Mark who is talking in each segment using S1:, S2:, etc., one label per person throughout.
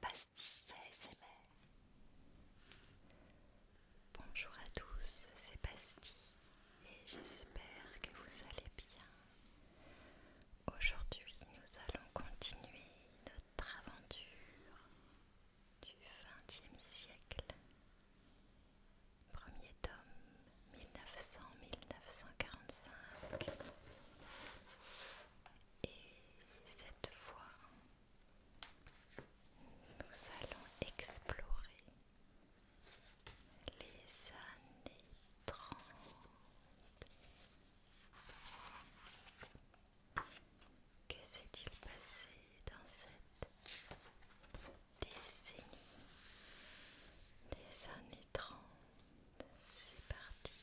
S1: Pastille ASMR Bonjour à tous, c'est Bastille et j'espère que vous allez bien. Aujourd'hui, nous allons continuer notre aventure du 20 XXe siècle. Premier tome 1900-1945 et cette fois, nous allons explorer les années 30. Que s'est-il passé dans cette décennie des années 30 C'est parti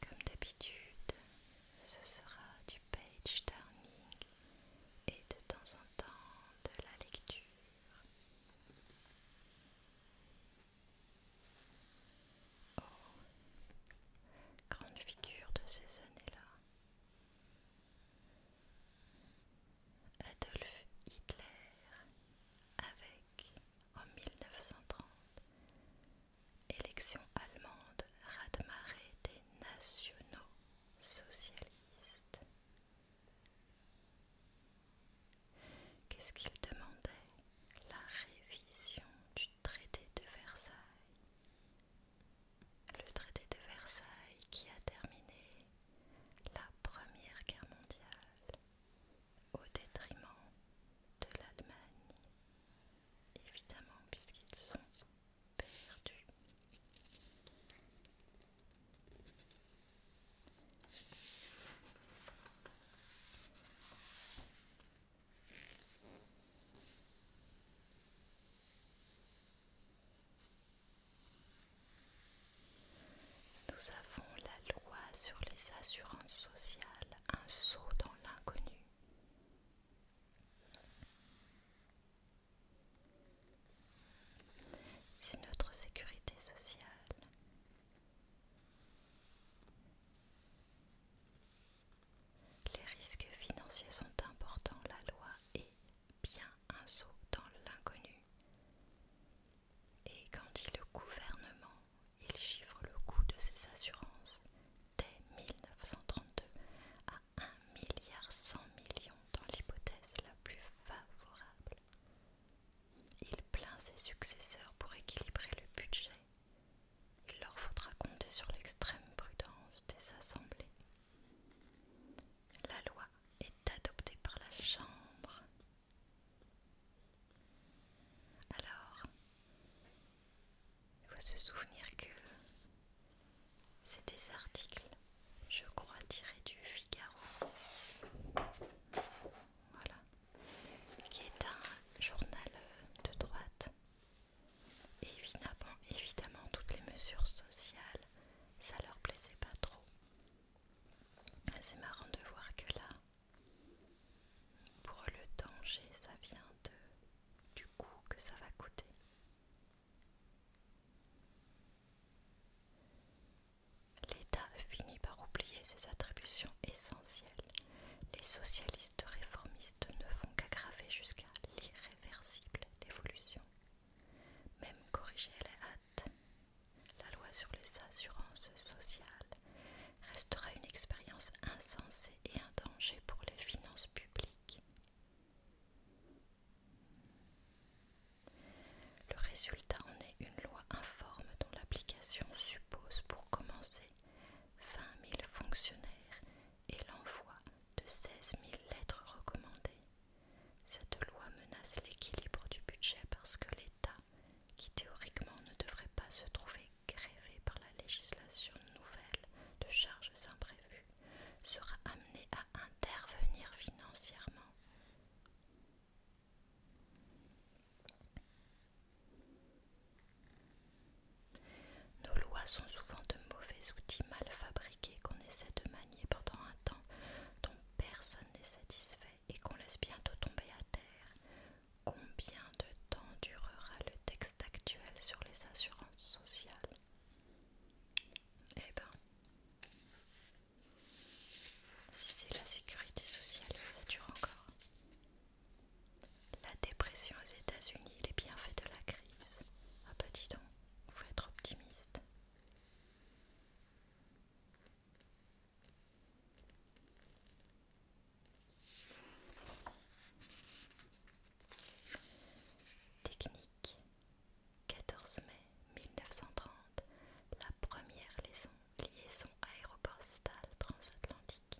S1: comme d'habitude, ce sera du page turning et de temps en temps de la lecture. Oh, grande figure de ces années-là. Adolf Hitler avec, en 1930, élection allemande raz des nationaux socialistes. Qu'est-ce qu'il demandait La révision du traité de Versailles le traité de Versailles qui a terminé la Première Guerre mondiale au détriment de l'Allemagne, évidemment puisqu'ils sont perdus. Nous avons la loi sur les assurances sociales, un saut dans l'inconnu. C'est notre sécurité sociale. Les risques financiers sont importants, la loi est bien un saut dans l'inconnu. Et quand dit le gouvernement, il chiffre le coût de ses assurances dès 1932 à 1 milliard 100 millions dans l'hypothèse la plus favorable. Il plaint ses successeurs pour équilibrer le budget. Il leur faudra compter sur l'extrême prudence des assemblées la loi est adoptée par la Chambre. Alors, il faut se souvenir que c'est des articles, je crois, tirés du Figaro. Voilà. Qui est un journal euh, de droite Évidemment, évidemment, toutes les mesures sociales, ça leur plaisait pas trop. Ah, c'est marrant de voir que là, pour le danger, ça vient de, du coût que ça va coûter. L'État finit par oublier ses attributions essentielles. Les socialistes réformistes ne font qu'aggraver jusqu'à l'irréversible l'évolution même corriger à la hâte, la loi sur les assurances sociales restera une expérience insensée et un danger pour les finances publiques. Le résultat en est une loi informe dont l'application suppose pour commencer 20 000 fonctionnaires et l'envoi de 16 000 lettres recommandées. Cette loi menace l'équilibre du budget parce que l'État, qui théoriquement ne devrait pas se trouver grévé par la législation nouvelle de charges imprévues, sera amené à intervenir financièrement. Nos lois sont souvent de mauvais outils mal fabriqués qu'on essaie de manier pendant un temps dont personne n'est satisfait et qu'on laisse bientôt tomber à terre. Combien de temps durera le texte actuel sur les assurances sociales Eh ben, si c'est la sécurité sociale, ça dure encore. La dépression aux États-Unis, les bienfaits de la crise. un petit don, vous faut être optimiste. Technique 14 mai 1930 La première liaison, liaison aéroport-stale transatlantique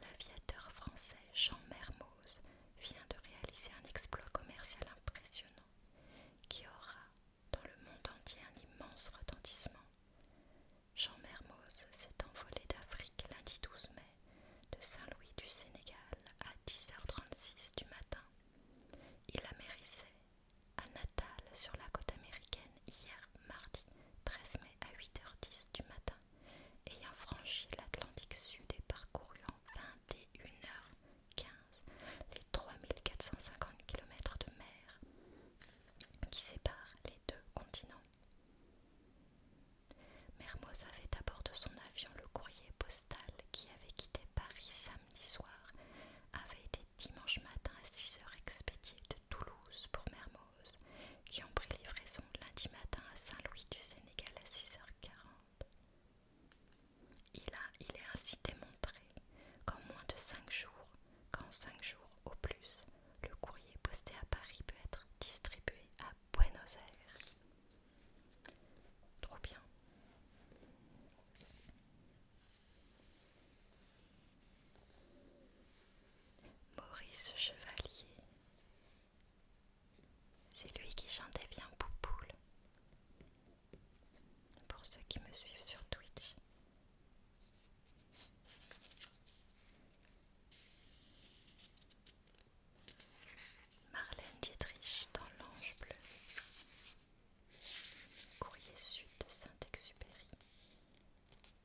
S1: L'aviateur français Jean Mermoz vient de réaliser un exploit commercial impressionnant qui aura dans le monde entier un immense retentissement. Jean Mermoz s'est envolé d'Afrique lundi 12 mai de Saint-Louis du Sénégal à 10h36 du matin. Il amérissait à Natal sur la côte américaine hier mardi 13 mai à 8h10 du matin, ayant franchi l'Atlantique Sud et parcouru en 1 h 15 les 3450 km de mer qui séparent les deux continents. Mermoz avait à bord de son avion le courrier postal qui avait quitté Paris samedi soir, avait été dimanche matin à 6h expédié de Toulouse pour Mermoz, qui ont pris livraison lundi matin à Saint-Louis du Sénégal à 6h40. Il, est ainsi démontré qu'en moins de 5 jours, qu'en 5 jours au plus, le courrier posté à Paris peut être distribué à Buenos Aires. Trop bien. Maurice Chevalier c'est lui qui chantait bien Poupoule. Pour ceux qui me suivent sur Twitch. Marlène Dietrich dans l'ange bleu. Courrier sud de Saint-Exupéry.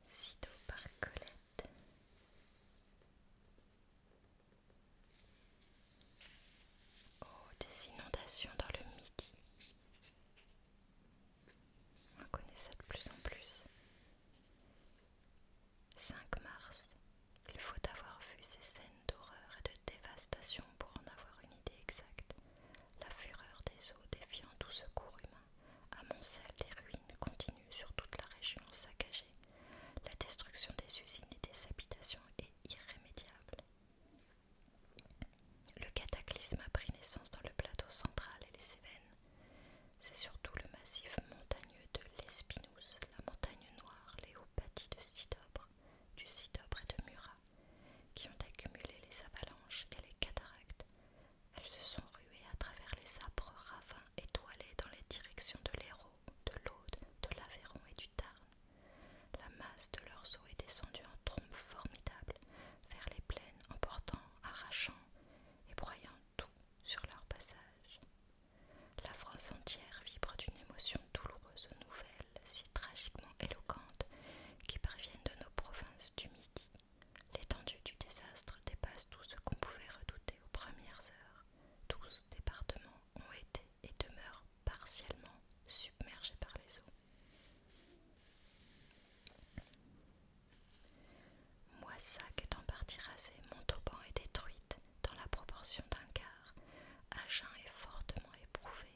S1: Sido par Colette. Oh, des inondations dans le midi. On connaît ça de plus en plus. 5 mars. Il faut avoir vu ces scènes d'horreur et de dévastation pour en avoir une idée exacte. La fureur des eaux défiant tout secours humain amoncelle des ruines continues sur toute la région saccagée. La destruction des usines et des habitations irrémédiable. Le cataclysme a pris naissance dans le plateau central et les Cévennes. C'est surtout le massif montagneux de l'Espinous, la montagne noire, les hauts bâtis de Sidobre, du Sidobre et de Murat, qui ont accumulé les avalanches et les cataractes. Elles se sont ruées à travers les arbres ravins étoilés dans les directions de l'Hérault de l'Aude, de l'Aveyron et du Tarn. La masse de leurs eaux est descendue en trombe formidable vers les plaines, emportant, arrachant et broyant tout sur leur passage. La France entière vibre d'une émotion douloureuse nouvelle, si tragiquement éloquente, qui parviennent de nos provinces du Midi. L'étendue du désastre dépasse tout ce qu'on pouvait redouter aux premières heures. Douze départements ont été et demeure partiellement submergée par les eaux. Moissac est en partie rasé, Montauban est détruite dans la proportion d'un quart, Agen est fortement éprouvé,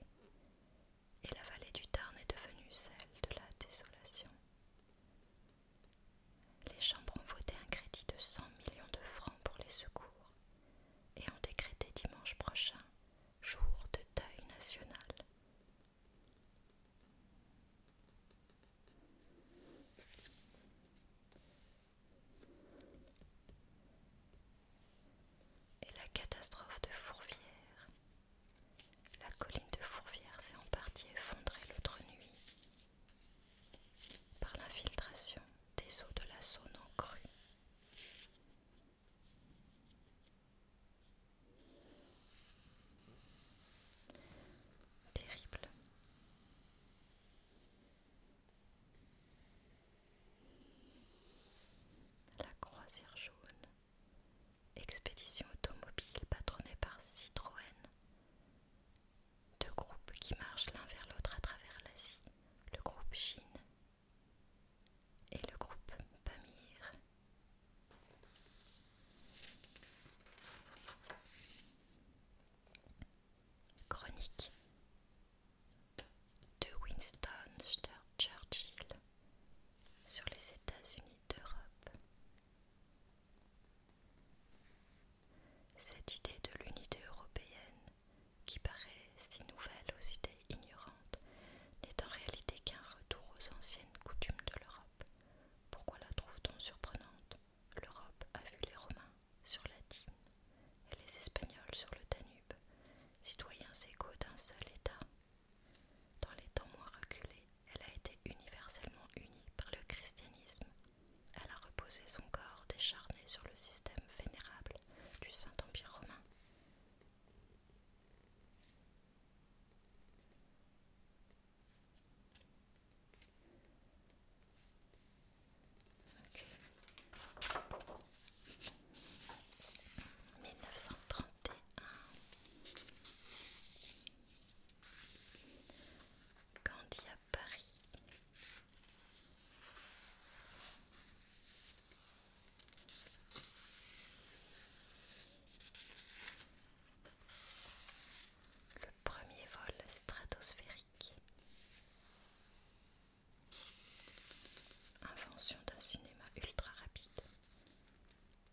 S1: et la vallée du Tarn est devenue celle de la désolation. Les chambres ont voté un crédit de 100 millions de francs pour les secours et ont décrété dimanche prochain jour de deuil national. Et la catastrophe de Fourvière. La colline de Fourvière s'est en partie effondrée l'autre nuit par l'infiltration des eaux de la Saône en cru Terrible. La croisière jaune, expédition automobile patronnée par Citroën, deux groupes qui marchent l'un vers l'autre à travers l'Asie, le groupe Chine et le groupe Pamir. Chronique de Winston Churchill sur les États-Unis d'Europe. Cette idée de l'unité européenne qui paraît si nouvelle aux idées ignorantes, n'est en réalité qu'un retour aux anciennes coutumes de l'Europe. Pourquoi la trouve-t-on surprenante L'Europe a vu les Romains sur la Dîne et les Espagnols sur le Danube, citoyens égaux d'un seul État. Dans les temps moins reculés, elle a été universellement unie par le christianisme. Elle a reposé son corps décharné sur le système vénérable du Saint-Empire romain. 1931 Gandhi à Paris le premier vol stratosphérique. Invention d'un cinéma ultra rapide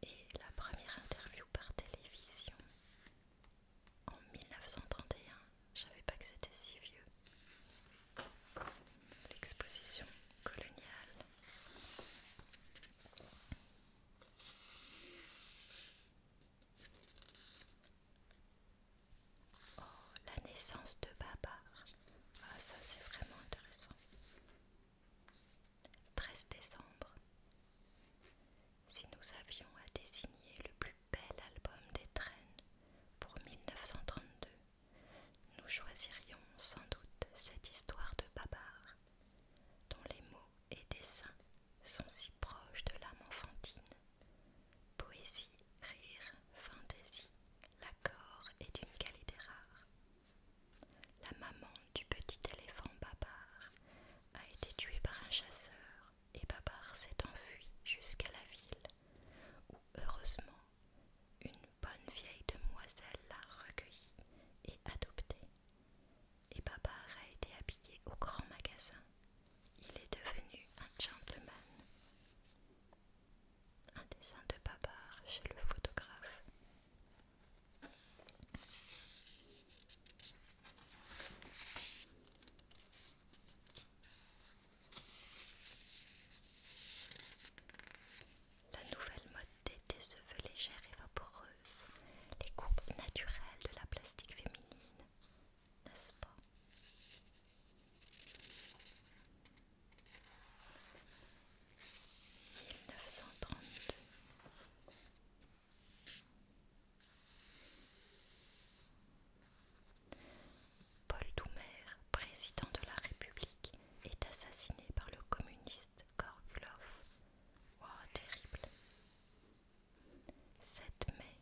S1: et la première interview par télévision en 1931 je savais pas que c'était si vieux. L'exposition coloniale. Oh, la naissance de Babar. Ah, ça c'est vraiment intéressant. 13 décembre. Si nous avions à désigner le plus bel album des traînes pour 1932, nous choisirions sans doute cette histoire de Babar, dont les mots et dessins sont si proches de l'âme enfantine. Poésie, rire, fantaisie, l'accord est d'une qualité rare. La maman du petit éléphant Babar a été tuée par un chasseur et Babar s'est enfui jusqu'à la ville, où heureusement une bonne vieille demoiselle l'a recueillie et adoptée. Et Babar a été habillé au grand magasin. Il est devenu un gentleman. Un dessin de Babar chez le photographe. La nouvelle mode d'été se veut légère et vaporeuse, les coupes naturelles de la plastique féminine, n'est-ce pas « Paul Doumer, président de la République, est assassiné par le communiste Korgulov. Oh, terrible 7 mai,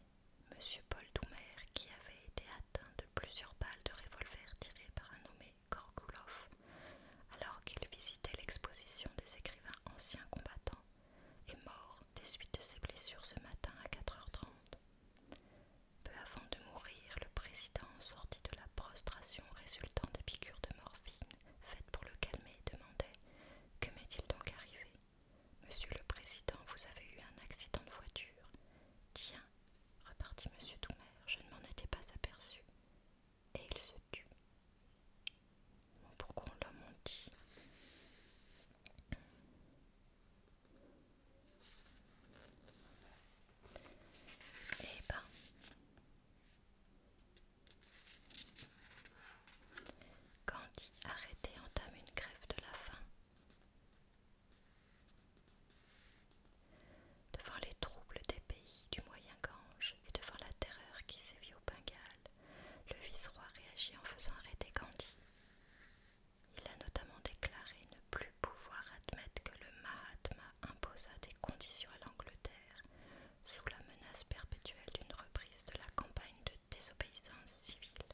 S1: M. Paul Doumer, qui avait été atteint de plusieurs balles de revolver tirées par un nommé Korgulov, alors qu'il visitait l'exposition des écrivains anciens combattants, est mort des suites de ses blessures ce matin à 4h30 peu avant de mourir, le président sortit de la prostration résultant des piqûres de morphine faites pour le calmer et demandait Que m'est-il donc arrivé Monsieur le président, vous avez eu un accident de voiture. Tiens, repartit monsieur Doumer, je ne m'en étais pas aperçu. Et il se tut. Pourquoi on l'a menti et eh ben, Gandhi arrêté entame une grève de la faim. Devant les troubles des pays du Moyen-Gange et devant la terreur qui sévit au Bengale, le vice-roi réagit en faisant arrêter Gandhi. Il a notamment déclaré ne plus pouvoir admettre que le Mahatma imposa des conditions à l'Angleterre sous la menace perpétuelle d'une reprise de la campagne de désobéissance civile.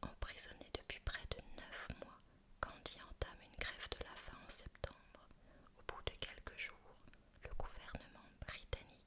S1: Emprisonné depuis près de neuf mois, Gandhi entame une grève de la faim en septembre. Au bout de quelques jours, le gouvernement britannique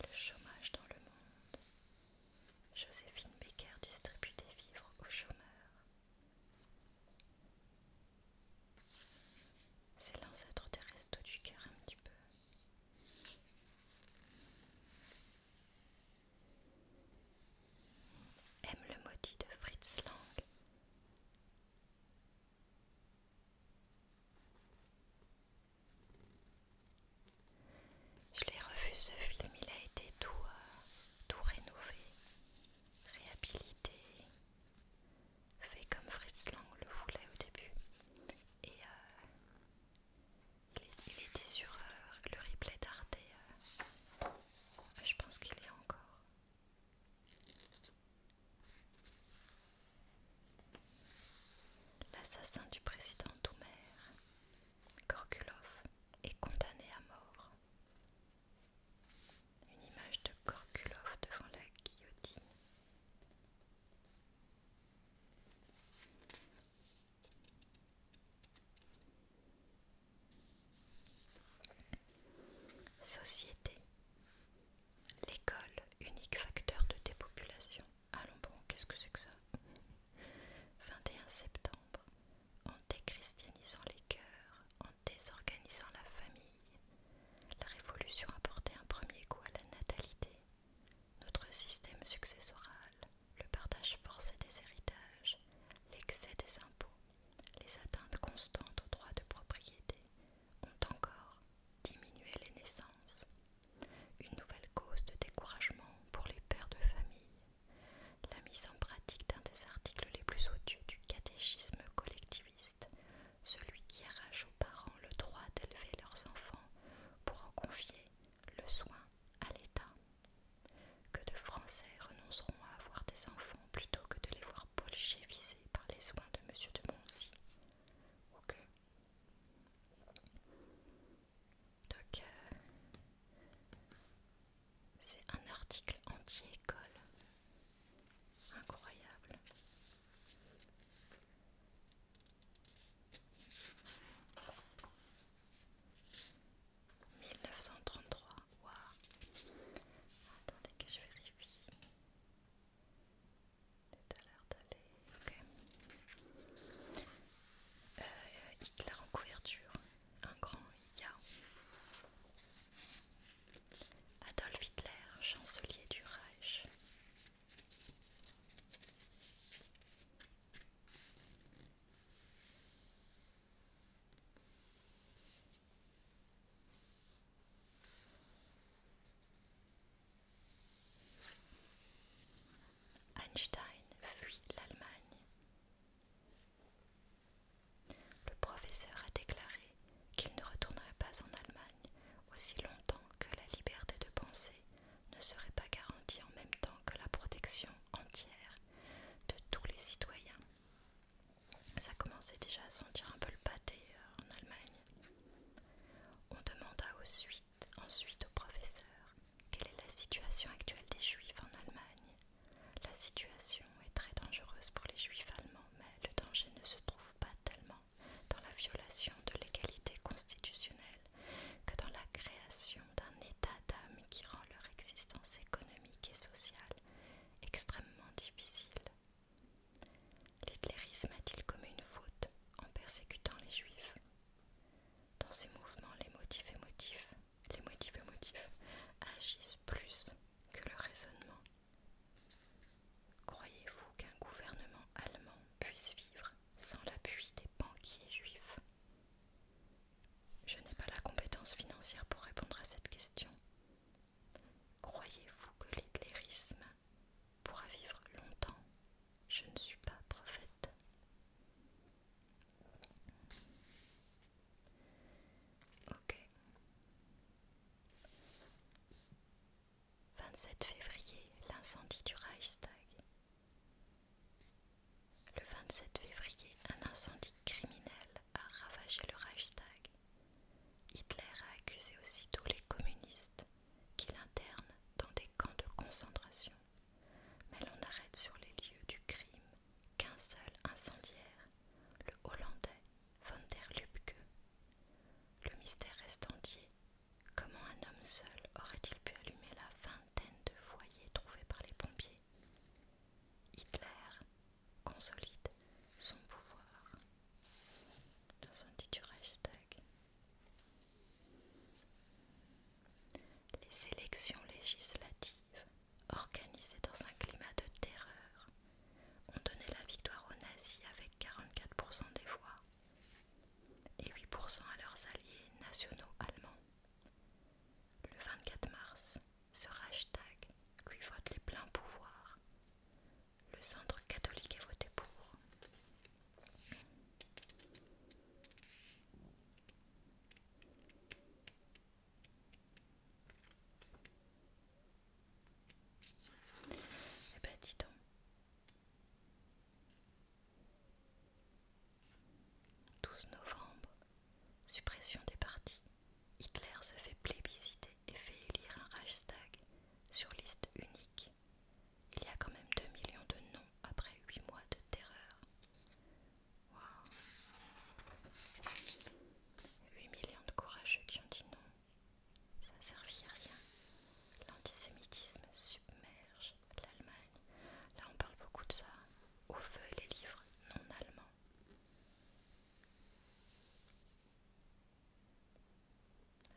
S1: Le chômage dans le monde. Joséphine Becker distribue des vivres aux chômeurs. C'est l'ancêtre des restos du cœur un petit peu aime le maudit de Fritz Lang. Je l'ai refusé, ce film, il a été tout, euh, tout rénové, réhabilité, fait comme Fritz Lang le voulait au début. Et euh, il, était sur heure, le replay d'Artea. Euh. je pense qu'il est encore. L'assassin du président Doumer, Korkulov, est condamné à mort. Une image de Gorkulov devant la guillotine. Société. L'école, unique facteur de dépopulation. Allons bon, qu'est-ce que c'est que ça 21 septembre. En déchristianisant les cœurs, en désorganisant la famille, la révolution a porté un premier coup à la natalité, notre système successoral, le partage forcé des héritages, l'excès des impôts, les atteintes constantes aux droits de propriété ont encore diminué les naissances. Une nouvelle cause de découragement pour les pères de famille, la mise en pratique d'un des articles les plus odieux du catéchisme collectiviste, celui qui arrache aux parents le droit d'élever leurs enfants pour en confier le soin à l'État. Que de Français renonceront à avoir des enfants plutôt que de les voir bolchevisés par les soins de Monsieur de Monzy. Ok. Donc, euh, c'est un article anti-école. Incroyable. 1933, waouh Attendez que je vérifie. Tout à l'heure d'aller. Euh, Hitler en couverture. Un grand IA. Adolf Hitler, chancelier du Reich. Einstein fuit l'Allemagne. Le professeur a déclaré qu'il ne retournerait pas en Allemagne aussi longtemps que la liberté de penser ne serait pas garantie en même temps que la protection entière de tous les citoyens. Ça commençait déjà à sentir un peu le pâté euh, en Allemagne. On demanda ensuite au professeur quelle est la situation actuelle des juifs en Allemagne. La situation est très dangereuse pour les juifs allemands, mais le danger ne se trouve pas tellement dans la violation de l'égalité constitutionnelle que dans la création d'un état d'âme qui rend leur existence économique et sociale extrêmement difficile. L'hitlérisme a-t-il commis une faute en persécutant les juifs Dans ces mouvements, les motifs les motifs émotifs agissent plus que le raisonnement. Croyez-vous qu'un gouvernement allemand puisse vivre sans l'appui des banquiers juifs je n'ai pas la compétence financière pour répondre à cette question. Croyez-vous que l'éclairisme pourra vivre longtemps Je ne suis pas prophète. Ok. 27 février, l'incendie du Reichstag. Le 27 février, un incendie criminel a ravagé le Reichstag. Hitler a accusé aussitôt les communistes qu'il interne dans des camps de concentration. Mais l'on arrête sur les lieux du crime qu'un seul incendiaire, le Hollandais von der Lubbe. Le mystère reste entier. Comment un homme seul aurait-il pu allumer la fin de foyers trouvés par les pompiers. Hitler consolide son pouvoir. un du hashtag, Les élections législatives, organisées dans un climat de terreur, ont donné la victoire aux nazis avec 44% des voix et 8% à leurs alliés nationaux allemands. Le 24 mars, ce hashtag lui vote les pleins pouvoirs. Le centre catholique est voté pour. Eh ben dis donc. 12 novembre, suppression des partis. Hitler se fait plébisciter et fait élire un Reichstag sur liste unique. Il y a quand même 2 millions de noms après 8 mois de terreur. 8 millions de courageux qui ont dit non. Ça ne servit à rien. L'antisémitisme submerge l'Allemagne. Là, on parle beaucoup de ça. Au feu, les livres non allemands.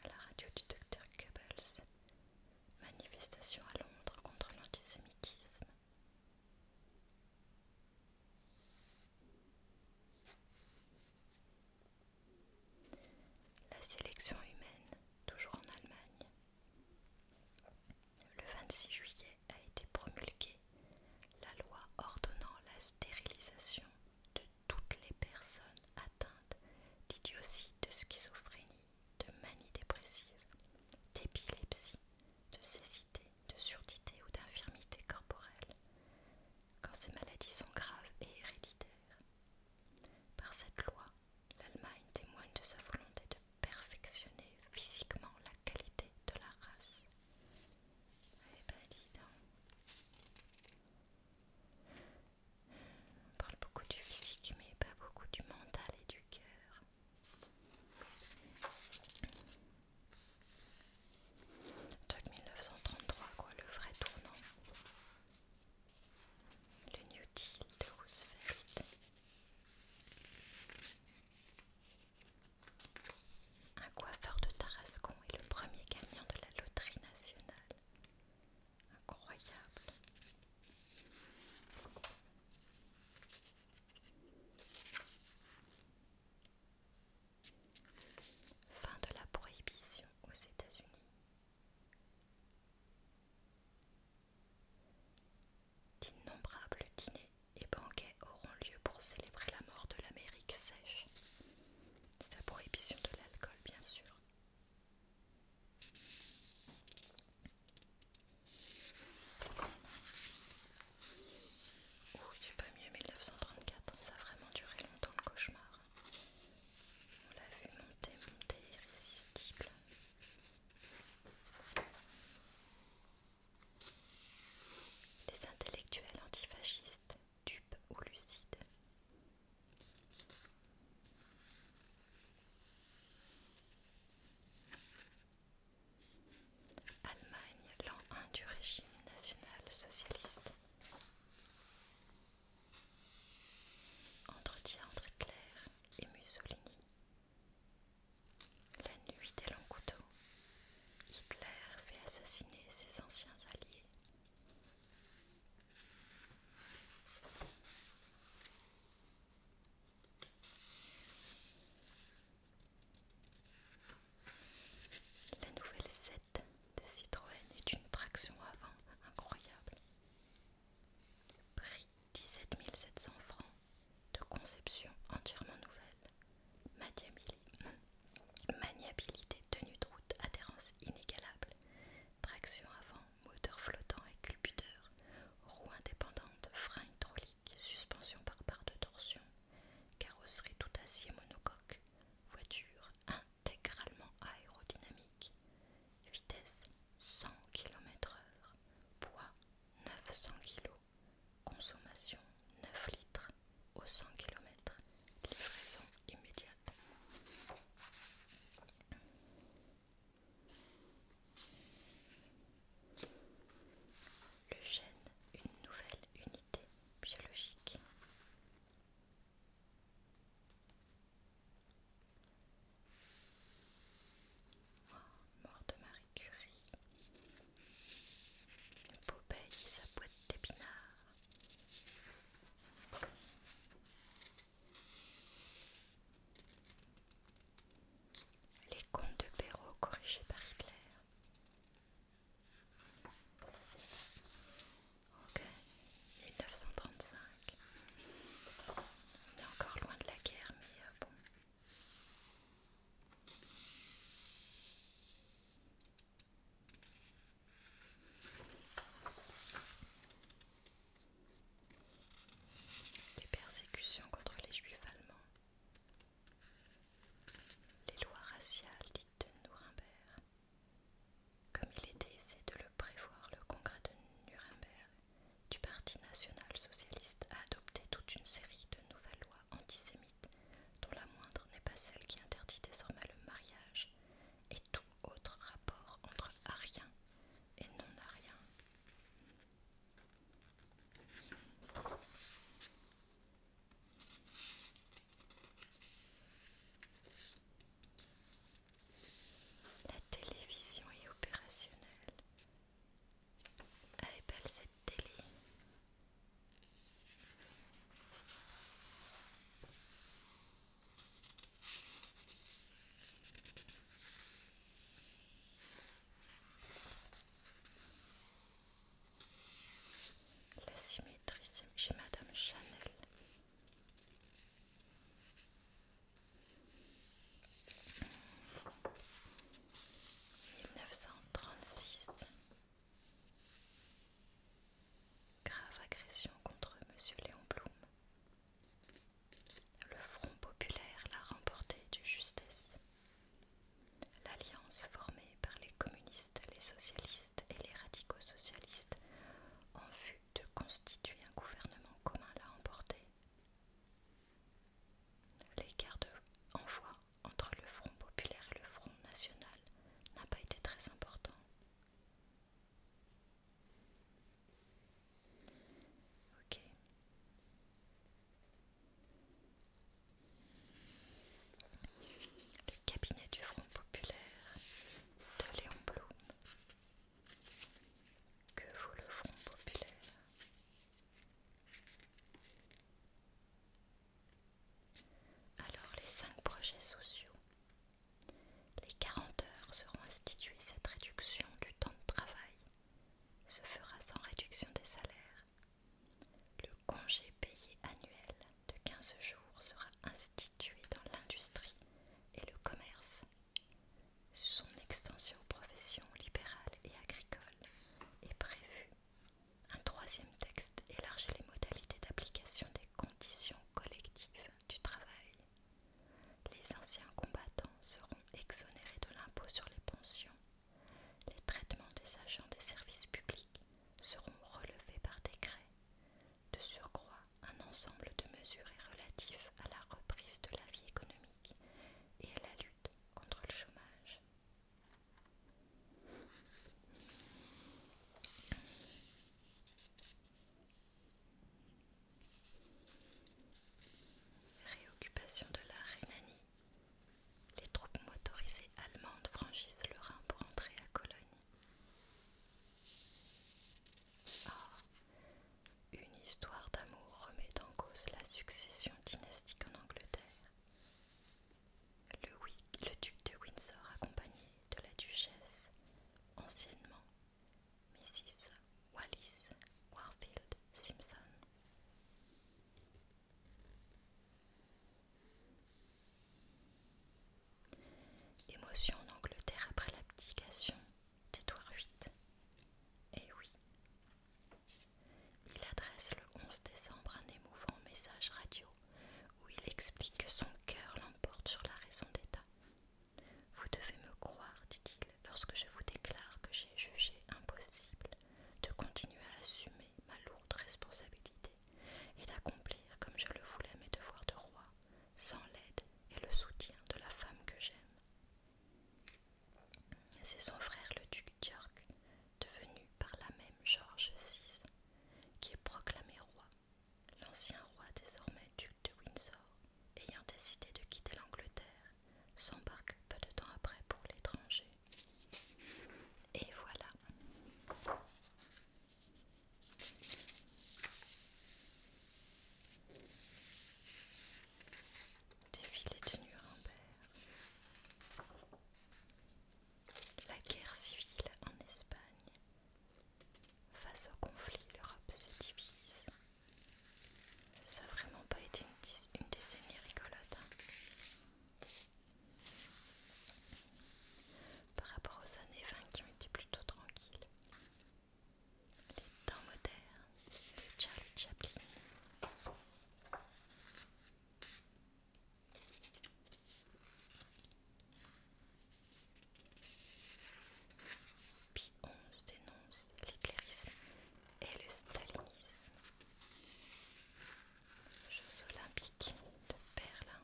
S1: À la radio du docteur Goebbels, manifestation à Londres contre l'antisémitisme. La sélection humaine, toujours en Allemagne. Le 26 juillet a été promulguée la loi ordonnant la stérilisation de toutes les personnes atteintes d'idiotie, de schizophrénie, de manie dépressive, d'épilepsie, de cécité, de surdité ou d'infirmité corporelle, quand ces maladies sont graves et héréditaires. Par cette loi, l'Allemagne témoigne de sa volonté de perfectionner physiquement la qualité de la race. Eh ben, On parle beaucoup du physique mais pas beaucoup du mental et du cœur. 1933 quoi, le vrai tournant. Le New Deal de Roosevelt. Un coiffeur de Tarascon est le premier gagnant de la loterie nationale. Incroyable. Fin de la prohibition aux États-Unis. D'innombrables dîners et banquets auront lieu pour célébrer la mort de l'Amérique sèche. Sa prohibition de l'alcool, bien sûr. Oh, c'est pas mieux 1934, ça a vraiment duré longtemps le cauchemar. On l'a vu monter, monter, irrésistible. Les intellectuels antifascistes, dupes ou lucides. Allemagne, l'an 1 du régime national socialiste. Entretien entre Claire et Mussolini. La nuit des longs couteaux, Hitler fait assassiner ses anciens alliés. La nouvelle 7 des Citroën est une traction avant incroyable. 17 700 francs de conception entièrement nouvelle, hmm, maniabilité tenue de route, adhérence inégalable, traction avant, moteur flottant et culbuteur, roue indépendante, frein hydraulique, suspension par barre de torsion, carrosserie tout acier monocoque, voiture intégralement aérodynamique, vitesse 100 km/h, poids 900 kg. Consommation 9 litres aux 100 km. Livraison immédiate. Le chêne, une nouvelle unité biologique mort de Marie Curie. et sa boîte d'épinards. Les contes de Perrault corrigés par Hitler. Ok, 1935. On est encore loin de la guerre, mais euh, bon, les persécutions contre les juifs allemands. Les lois raciales dites de Nuremberg. Comme il était essayé de le prévoir, le congrès de Nuremberg du Parti national-socialiste a adopté toute une série de nouvelles lois antisémites, dont la moindre n'est pas celle qui interdit désormais le mariage et tout autre rapport entre ariens et non-ariens. La télévision est opérationnelle. Elle est belle cette télé. La symétrie chez Madame Chanel. 1936 Grave agression contre Monsieur Léon Blum. Le Front populaire l'a remporté de justesse. L'alliance formée par les communistes, les socialistes et les radicaux socialistes en vue de constituer un gouvernement commun l'a remporté. L'écart de envoi entre le Front populaire et le Front national n'a pas été très important. Ok. Le cabinet du Front populaire de Léon Blum. Que vaut le Front populaire alors les cinq projets sociaux. Les 40 heures seront instituées. Cette réduction du temps de travail se fera sans réduction des salaires. Le congé payé annuel de 15 jours sera institué dans l'industrie et le commerce. Son extension aux professions libérales et agricoles est prévue. Un troisième texte élargit les modalités d'application des conditions collectives du travail. Les anciens combattants seront exonérés de l'impôt sur les pensions. Les traitements des agents des services publics seront relevés par décret. De surcroît, un ensemble de mesures est relatif à la reprise de la vie économique et à la lutte contre le chômage. Réoccupation de la Rhénanie. Les troupes motorisées allemandes franchissent le Rhin pour entrer à Cologne. Ah, une histoire d'amour remet en cause la succession dynastique en Angleterre. Le, duc de Windsor, accompagné de la duchesse, anciennement Mrs. Wallis Warfield Simpson. Émotion en Angleterre après l'abdication d'Édouard VIII. Eh oui, il adresse le 11 décembre un émouvant message radio où il explique que son cœur l'emporte sur la raison d'État. Vous devez me croire, dit-il, lorsque je vous déclare que j'ai jugé impossible de continuer à assumer ma lourde responsabilité et d'accomplir comme je le voulais mes devoirs de roi sans l'aide et le soutien de la femme que j'aime. C'est son frère le duc d'York, devenu par la même George VI, qui est proclamé roi, l'ancien roi désormais duc de Windsor, ayant décidé de quitter l'Angleterre, s'embarque peu de temps après pour l'étranger. Et voilà. Défilé de Nuremberg. La guerre civile en Espagne. Face au conflit, l'Europe se divise. Ça n'a vraiment pas été une, décennie rigolote. Hein. Par rapport aux années 20 qui ont été plutôt tranquilles. Les temps modernes. Charlie Chaplin. Puis 11 dénonce l'éclairisme et le stalinisme. Jeux olympiques de Berlin.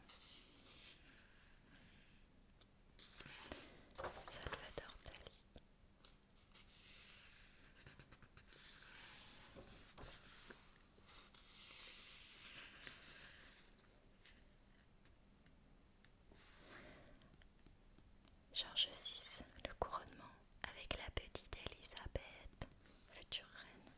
S1: Salvador Dali. Georges VI, le couronnement avec la petite Élisabeth, future reine.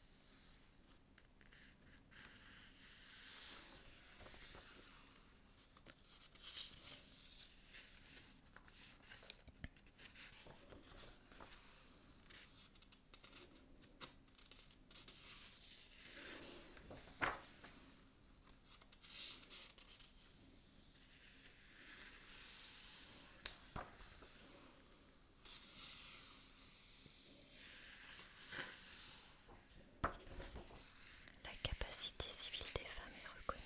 S1: La capacité civile des femmes est reconnue.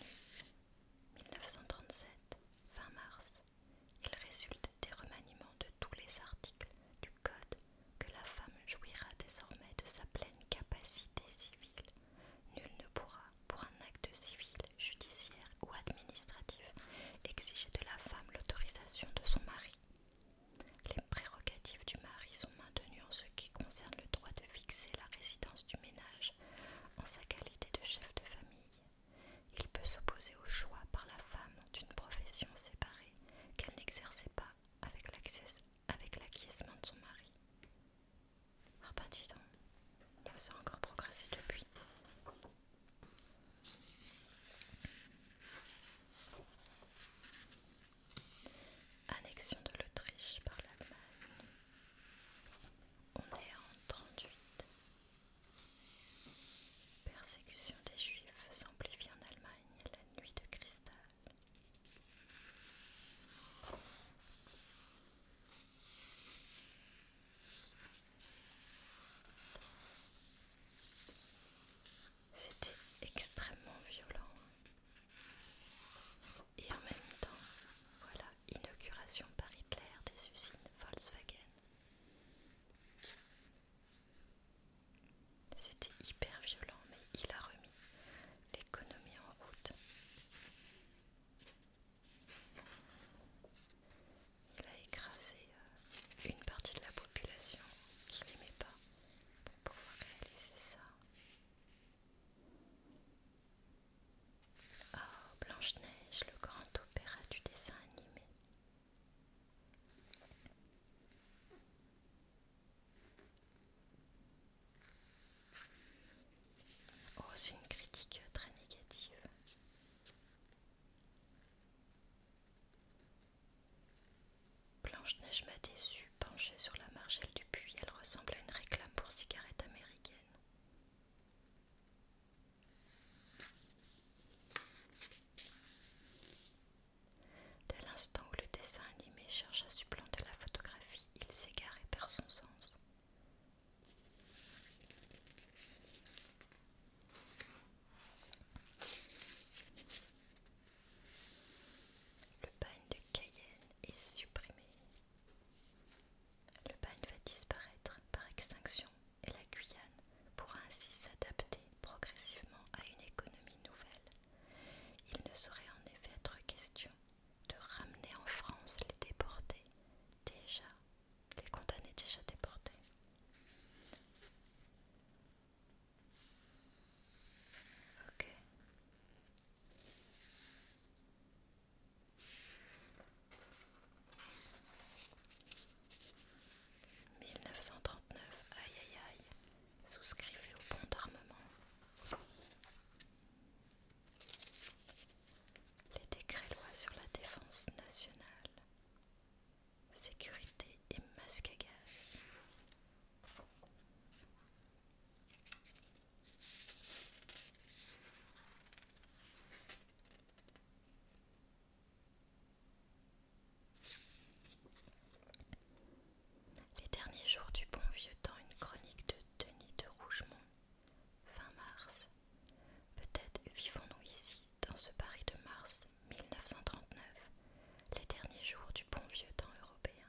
S1: 1937, fin mars. Il résulte des remaniements de tous les articles du Code que la femme jouira désormais de sa pleine capacité civile. Nul ne pourra, pour un acte civil, judiciaire ou administratif, exiger de la femme l'autorisation de son mari. Les prérogatives du mari sont maintenues en ce qui concerne le droit de fixer la résidence du ménage en sa qualité de chef de famille il peut s'opposer au choix par la femme d'une profession séparée qu'elle n'exerçait pas avec l'acquiescement de son mari. Ah bah, donc, ça a encore progressé depuis. Annexion de l'Autriche par l'Allemagne. On est en 38. Persécution des Juifs s'amplifie en Allemagne la nuit de cristal. C'était extrêmement violent. Et en même temps, voilà, inauguration par Hitler des usines Volkswagen. C'était hyper violent, mais il a remis l'économie en route. Il a écrasé euh, une partie de la population qui n'aimait pas pour pouvoir réaliser ça. Oh, Blanche-Neige, le grand opéra du dessin animé. Oh, c'est une critique très négative. Blanche-Neige m'a déçue, penchée sur la margelle du puits, elle ressemble à une réclame pour cigarettes américaines. Dès l'instant où le dessin animé cherche à supplanter la photographie, il s'égare et perd son sens. Le bagne de Cayenne est supprimé. Le bagne va disparaître par extinction et la Guyane pourra ainsi s'adapter progressivement à une économie nouvelle. Il ne saurait en effet être question de ramener en France les déportés déjà, les condamnés déjà déportés. 1939, aïe aïe aïe, souscrivez au pont d'armement. Les décrets-lois sur la défense nationale, sécurité et masque à gaz. Les derniers jours du bon vieux temps, une chronique de Denis de Rougemont, fin mars. Peut-être vivons-nous ici, dans ce Paris de mars 1939, les derniers jours du bon vieux temps européen,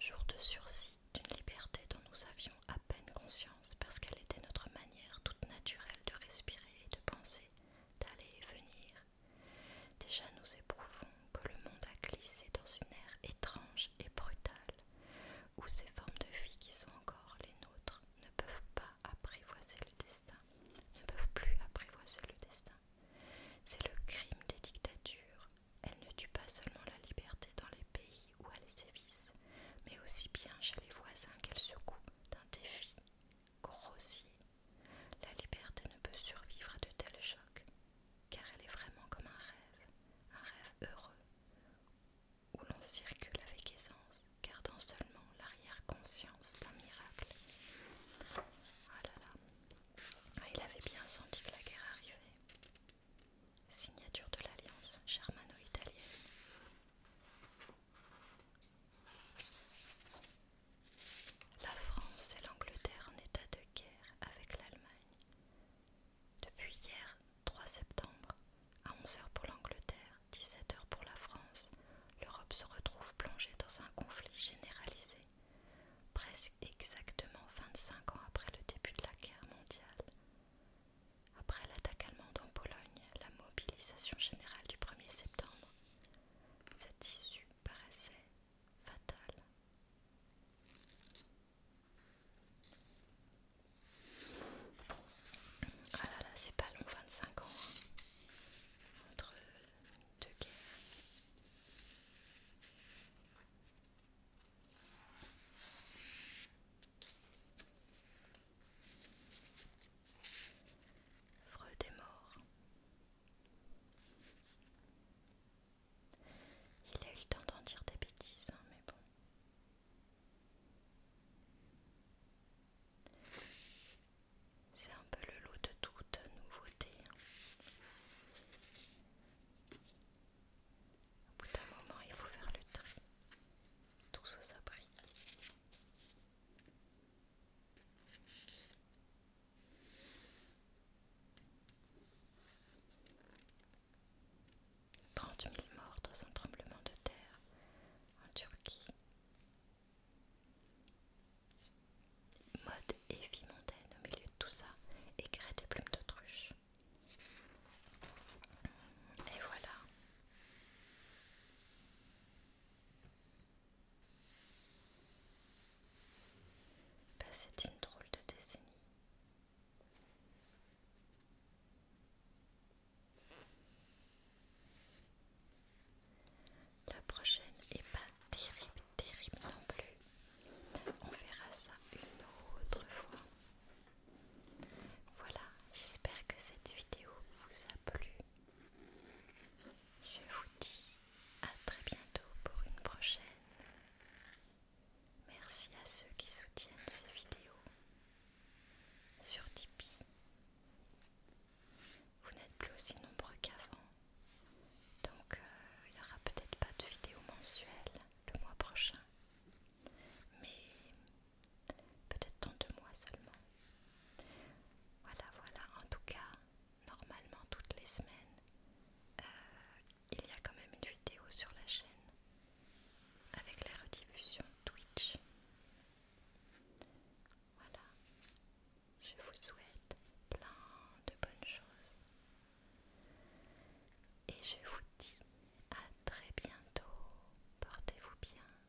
S1: jour de sursis d'une liberté dont nous avions à peine conscience parce qu'elle était notre manière toute naturelle de respirer et de penser, d'aller et venir. Déjà nous éprouvons que le monde a glissé dans une ère étrange et brutale, où ces formes de vie qui sont encore les nôtres ne peuvent pas apprivoiser le destin, ne peuvent plus apprivoiser le destin. C'est le crime des dictatures. Elles ne tuent pas seulement la liberté dans les pays ou à les services, mais aussi bien chez les voisins qu'elle secoue d'un défi grossier. La liberté ne peut survivre à de tels chocs, car elle est vraiment comme un rêve, un rêve heureux, où l'on circule avec aisance, gardant seulement l'arrière-conscience d'un miracle. Ah là là, ah, il avait bien senti que la guerre arrivait. Signature de l'Alliance germano-italienne. La France et l'Angleterre en état de guerre avec l'Allemagne. Depuis hier, 3 septembre, à 11h pour l'Angleterre, 17h pour la France, l'Europe se retrouve plongée dans un conflit généralisé, presque exactement 25 ans après le début de la guerre mondiale. Après l'attaque allemande en Pologne, la mobilisation générale du 1er septembre, cette issue paraissait fatale. Ah là là, c'est pas long, 25 ans, hein, entre deux guerres. Freud est mort. Il a eu le temps d'en dire des bêtises, hein, mais bon. C'est un peu le lot de toute nouveauté. Hein. Au bout d'un moment, il faut faire le trait Tout ça, ça Trente mille morts dans un tremblement de terre en Turquie. Mode et mondaine au milieu de tout ça, et créer des plumes d'autruche. Et voilà, bah, c'est une drôle de décennie. La prochaine est pas terrible, terrible non plus. On verra ça une autre fois. Voilà, j'espère que cette vidéo vous a plu. Je vous dis à très bientôt pour une prochaine. Merci à ceux qui soutiennent ces vidéos sur Tipeee. Vous n'êtes plus aussi nombreux qu'avant, donc euh, il n'y aura peut-être pas de vidéo mensuelle le mois prochain mais peut-être dans deux mois seulement. Voilà, voilà, en tout cas, normalement toutes les semaines, euh, il y a quand même une vidéo sur la chaîne avec la rediffusion Twitch. Voilà, je vous souhaite plein de bonnes choses. Et je vous dis à très bientôt. Portez-vous bien.